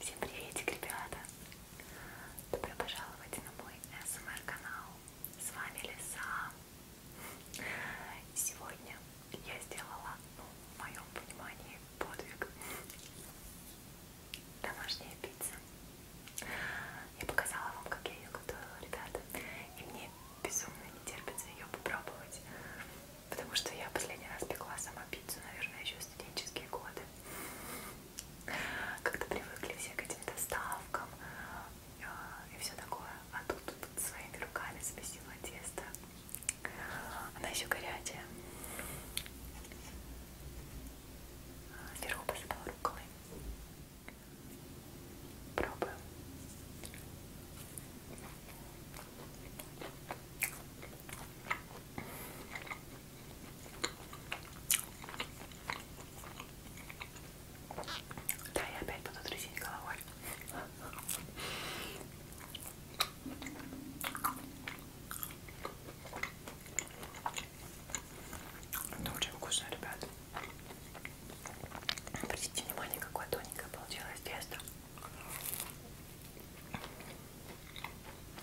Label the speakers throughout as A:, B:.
A: Всем приветик, ребята! Добро пожаловать на мой СМР-канал. С вами Лиса. Сегодня я сделала, ну, в моем понимании, подвиг. Домашняя пицца. Я показала вам, как я ее готовила, ребята. И мне безумно не терпится ее попробовать. Потому что я последний раз пекла сама пиццу, наверное, еще в студенческие годы. Как-то привыкли все к этим доставкам а, и все такое. А тут, тут своими руками спасила тесто. Она еще горячая. А, Сверху посыпала руколой. Пробуем. Да, я опять буду трясить головой. Это очень вкусно, ребят. Обратите внимание, какое тоненькое получилось тесто.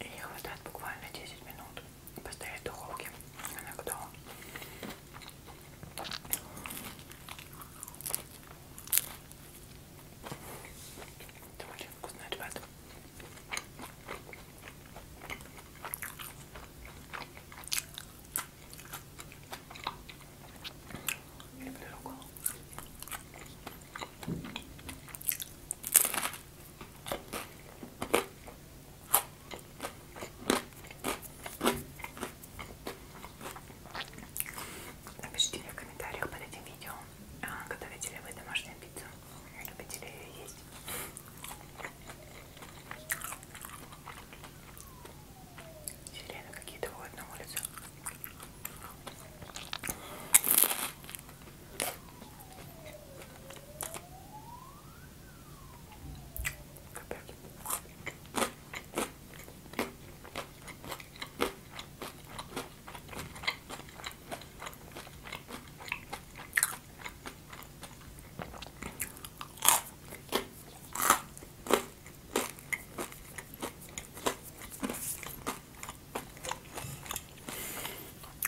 A: Ей хватает буквально 10 минут поставить в духовке. Она готова. Это очень вкусно, ребята. Люблю руколу. Напишите мне в комментариях под этим видео, а, готовите ли вы домашнюю пиццу, любите ли ее есть. Сирены какие-то ходят на улице. Капец.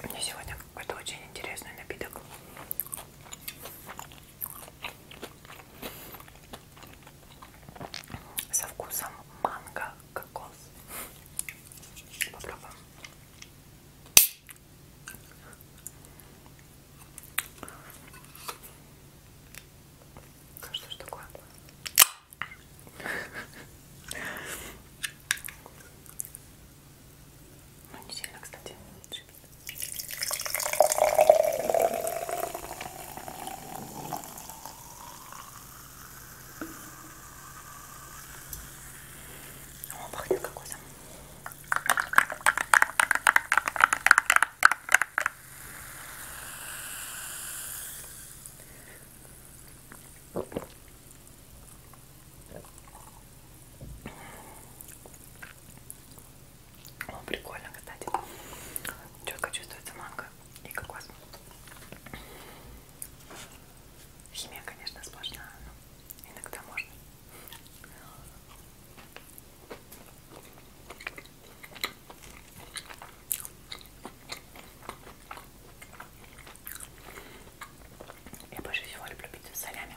A: Мне сегодня какой-то очень интересный напиток. Со вкусом манго, кокос. Попробуем. Ну что ж такое? Ну не сильно, кстати, шипит. О, пахнет какой-то о, прикольно, кстати. Четко чувствуется манго и кокос. Химия, конечно, сложна, но Иногда можно. Я больше всего люблю пить с солями.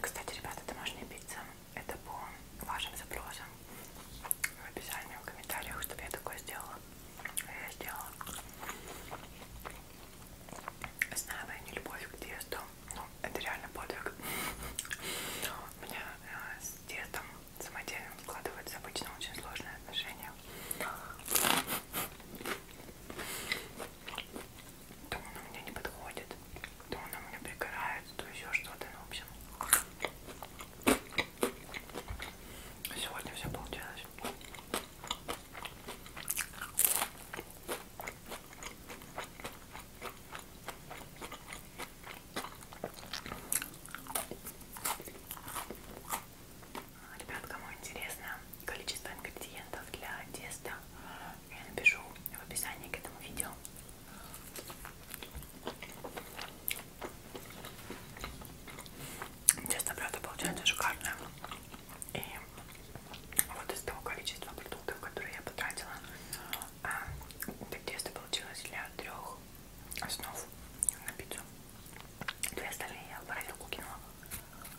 A: Кстати, ребята, домашняя пицца это по вашим запросам. В описании, в комментариях, чтобы я такое сделала. Я сделала. Знаю, я не любовь к тесту. Ну, это реально подвиг. У меня э, с тестом самодельным складываются обычно очень сложные отношения то он у меня не подходит, то он у меня пригорает, то еще что-то, ну, в общем. Сегодня все получилось. Ребят, кому интересно количество ингредиентов для теста, я напишу в описании к этому видео. Честно, правда, получается шикарная. И вот из того количества продуктов, которые я потратила, а, так тесто получилось для трех основ на пиццу. Две остальные я в морозилку кинула.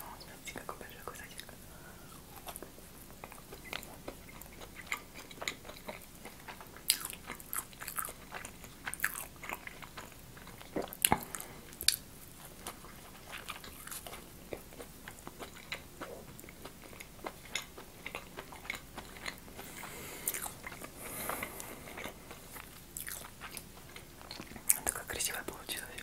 A: О, смотрите, какой большой кусочек. Это как красиво получилось.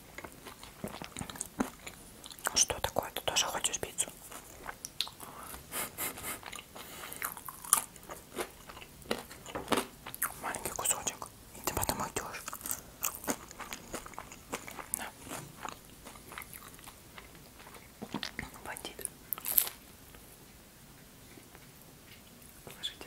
A: Что такое? Ты тоже хочешь пиццу? Маленький кусочек. И ты потом идешь. Да. Бандит. Слышите?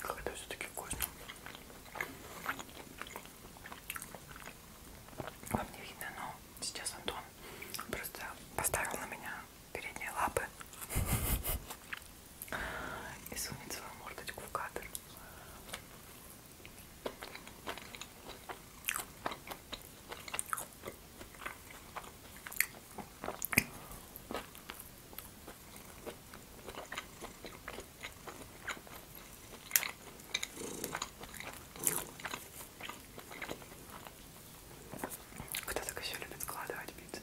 A: Как это все-таки вкусно. Вам не видно, но сейчас Антон просто поставил на меня передние лапы и сунет свою мордочку в кадр. Кто так еще любит складывать пиццу?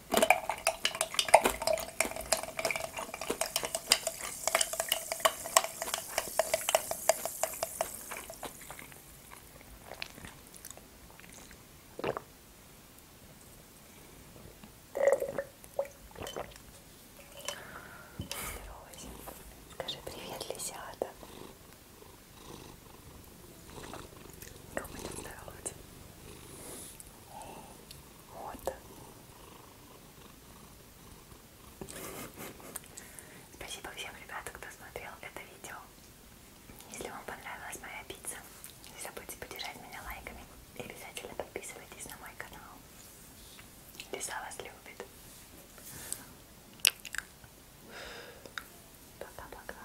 A: Скажи привет, лисята. Как мы тут здороваться? Вот. Спасибо всем ребятам, кто смотрел это видео. Если вам понравилась моя пицца, не забудьте поддержать меня лайками и обязательно подписывайтесь на мой канал. Лиса вас любит. Пока-пока.